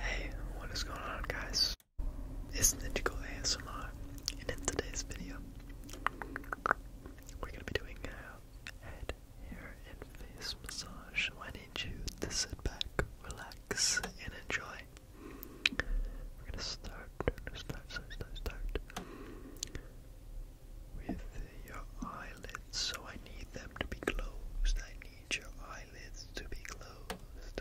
Hey, what is going on guys? It's Ninjago ASMR and in today's video we're gonna be doing a head, hair, and face massage. So I need you to sit back, relax, and enjoy. We're gonna start, start, start, start, start with your eyelids. So I need them to be closed. I need your eyelids to be closed.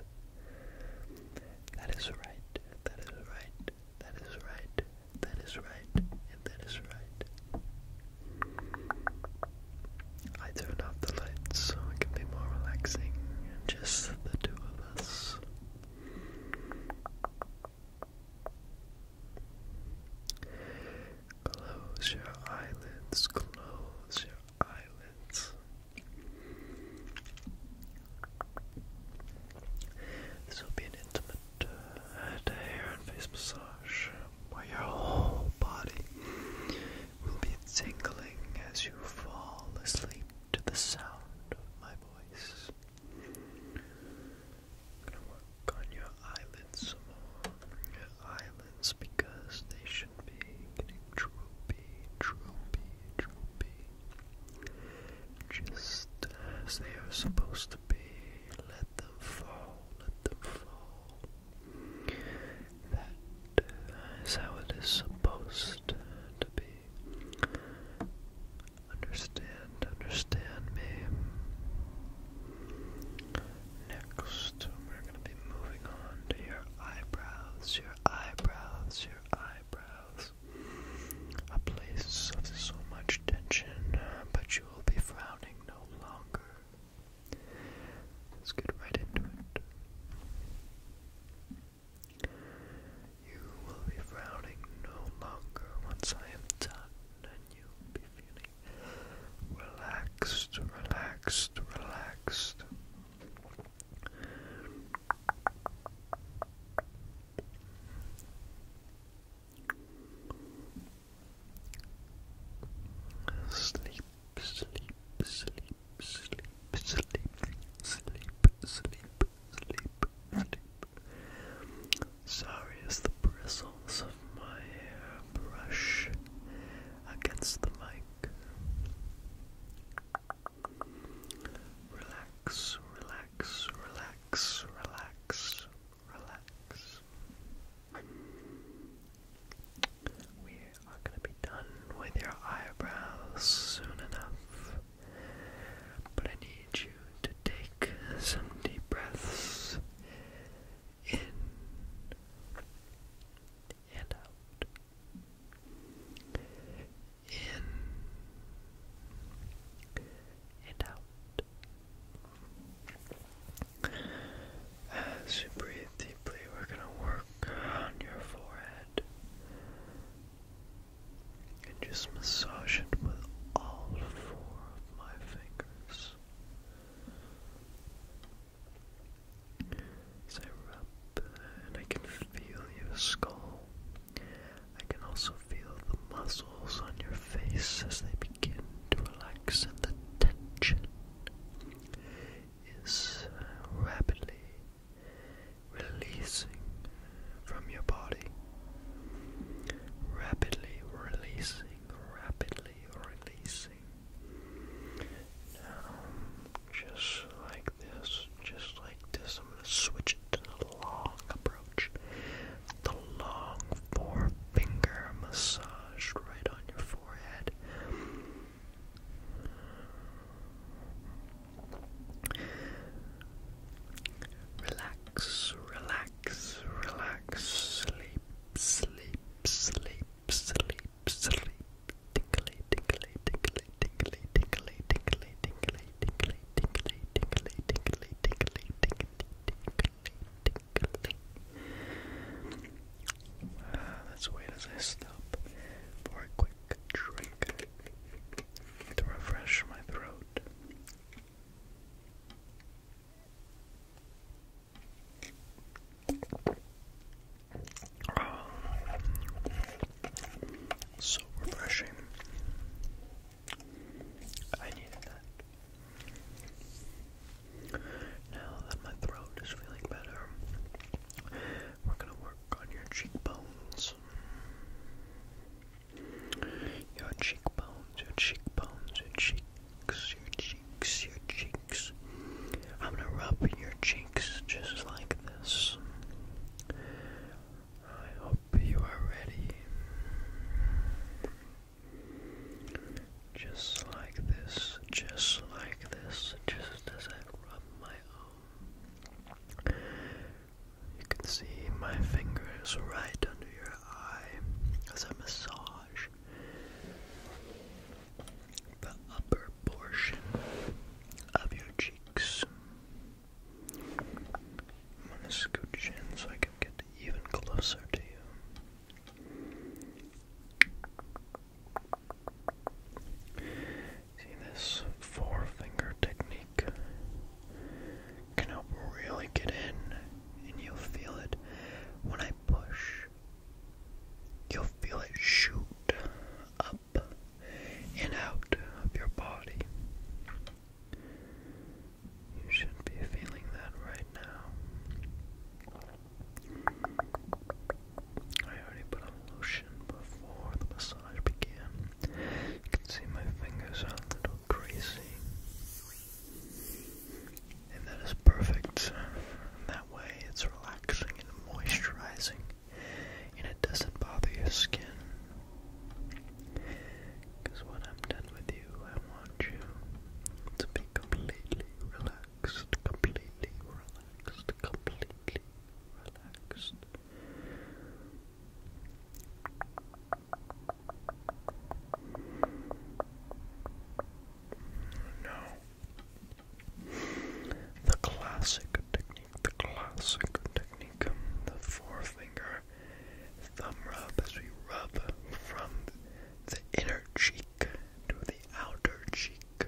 That is right, that is right, that is right, that is right, and that is right. I turn off the lights so it can be more relaxing, and just the two of us. Close your eyelids, close your eyelids. This will be an intimate head uh, to hair and face massage while your whole body will be tingling as you fall asleep to the sound of my voice. gonna work on your Islands, some because they should be getting droopy, droopy, droopy. Just as they are supposed to be. Let them fall, let them fall. That is how it is supposed to be. Understand, understand me. Next, we're going to be moving on to your eyebrows, your eyebrows, your eyebrows. A place of so much tension, but you will be frowning no longer. Let's get right into it. You will be frowning no longer once I am done, and you will be feeling relaxed, relaxed, relaxed. Sleep, sleep, sleep, sleep, sleep, sleep, sleep, sleep, sleep. Sorry as the bristles of my hair brush against the mic. Relax, relax, relax, relax, relax. We are going to be done with your eyebrows soon enough, but I need you to take some deep breaths in and out. In and out. As you breathe deeply, we're going to work on your forehead and just massage it with all four of my fingers. As I rub, and I can feel your skull. I can also feel the muscles on your face as they begin to relax, and the tension is uh, rapidly releasing from your body, rapidly releasing, rapidly releasing. Now, just like this, just like this, I'm going to switch it to the long approach. The long forefinger massage right on your forehead. Relax, relax, relax, sleep, sleep, sleep, sleep, sleep, tinkly, tinkly, tinkly, tinkly, tinkly, tinkly, tinkly, tinkly, tinkly, tinkly, tinkly, tinkly, tinkly, Let's wait as I stop for a quick drink to refresh my throat. Um, so refreshing. I needed that. Now that my throat is feeling better, we're going to work on your cheekbones. Your cheekbones, your cheekbones, your cheeks, your cheeks, your cheeks. I'm gonna rub your cheeks just like this. I hope you are ready. Just like this, just like this, just as I rub my own you can see my fingers right under your eye as I massage the upper portion of your cheeks. I'm going to scooch in so I can get even closer to you. See, this four technique can help really get in, and you'll feel it when I push. You'll feel it shoot up and out of your body. You should be feeling that right now. I already put on lotion before the massage began. You can see my fingers are a little greasy. And that is perfect. That way it's relaxing and moisturizing. And it doesn't bother your skin. Because when I'm done with you, I want you to be completely relaxed, completely relaxed, completely relaxed. No. The classic technique, the classic technique, the forefinger thumb rub as we rub from the inner cheek to the outer cheek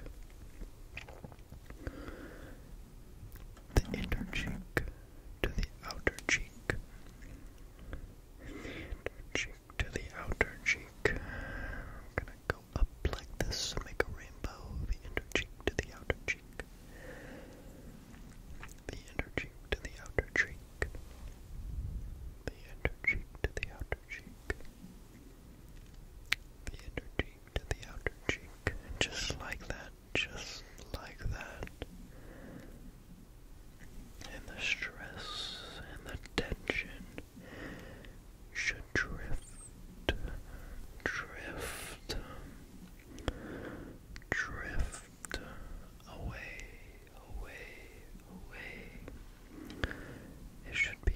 the inner cheek to the outer cheek, inner cheek to the outer cheek. I'm gonna go up like this make a rainbow. The inner cheek to the outer cheek, the inner cheek to the outer cheek, the inner cheek to the outer cheek, the inner cheek to the outer cheek, just like that, just like that. And the stress and the tension should drift, drift, drift away, away, away. It should be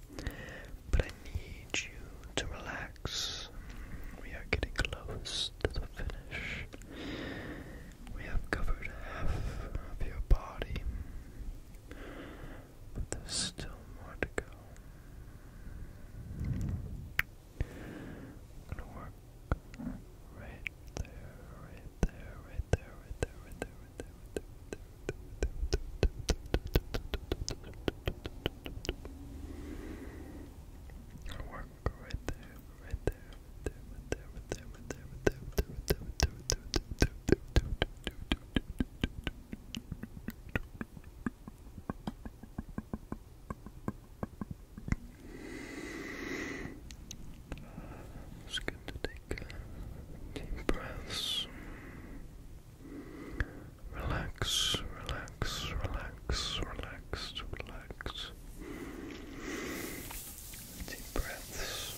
But I need you to relax. We are getting close to the finish. We have covered half of your body, but there's still more to go. gonna work right there, right there, right there, right there, right there, Work right there, right there, right there, right there, right there, right there, right there, right there, right there, right to take deep breaths. Relax, relax, relax, relax, relax. Deep breaths.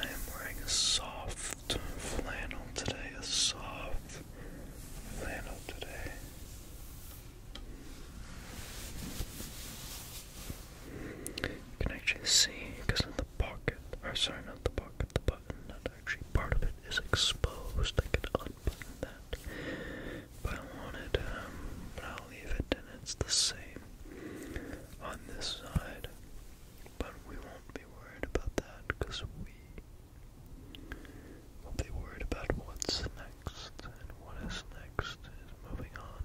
I am wearing a soft flannel today, a soft flannel today. You can actually see because in the pocket, or sorry, not the pocket, the button, not actually part of it is exposed. I can unbutton that, but I wanted, um, but I'll leave it and it's the same on this side. But we won't be worried about that because we will be worried about what's next. And what is next is moving on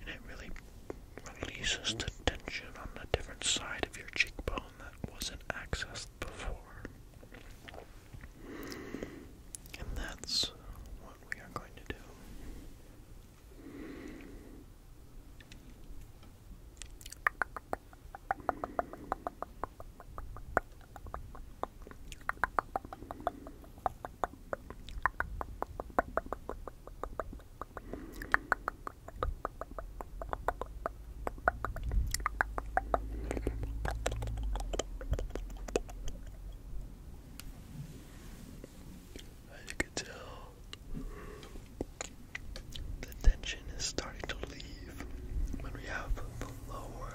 and it really releases the tension on the different side of your cheekbone that wasn't accessed before. And that's what we are going to do. As you can tell, the tension is starting to leave when we have the lower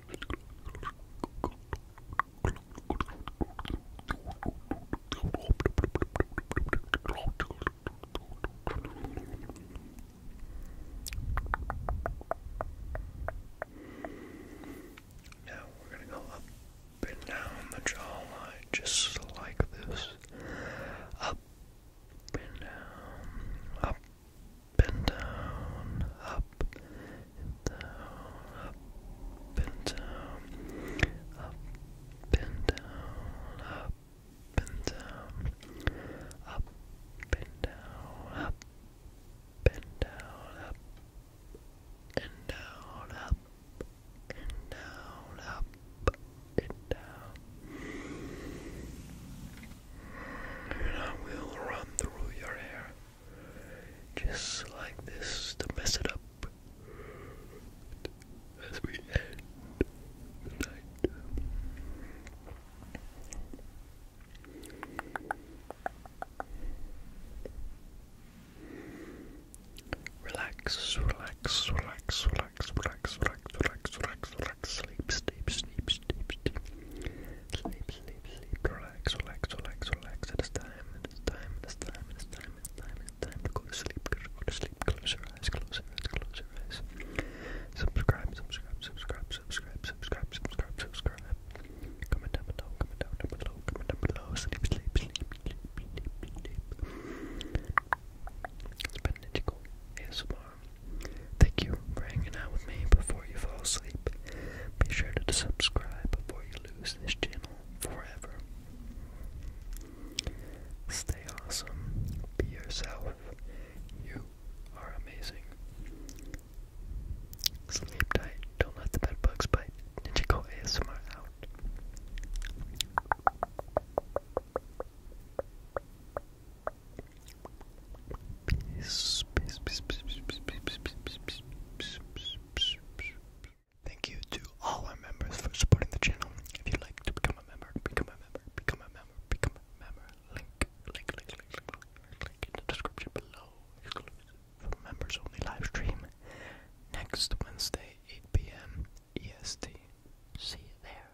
now we're going to go up and down the jawline just like this. Up and down, up and down, up and down, up and down, up and down, up and down, up and down, up and down, up and down, up and down, up and down and I will run through your hair just like this to mess it up as we end the night. Relax, relax, relax, relax, relax, relax, relax, relax, relax, sleep, sleep, sleep, sleep, sleep, sleep, sleep, sleep, relax, relax, relax, relax. It is time, it is time, it is time, it is time, it is time, it is time to sleep, go to sleep, close eyes, close eyes, close eyes. Subscribe, subscribe, subscribe, subscribe, subscribe, subscribe, subscribe. Comment down below, comment down below, comment down below, sleep, sleep, sleep, sleep, sleep, sleep. It's been Nichigo ASMR. Thank you for hanging out with me before you fall asleep. Be sure to subscribe before you lose this channel forever. Stay awesome. Be yourself. You are amazing. Sleep tight. Don't let the bed bugs bite. go ASMR out. Thank you to all our members for supporting the channel. If you'd like to become a member, become a member, become a member, become a member. Link, link, link, link, link, link, link in the description below. Exclusive members only live stream next Wednesday, 8 p.m. EST. See you there.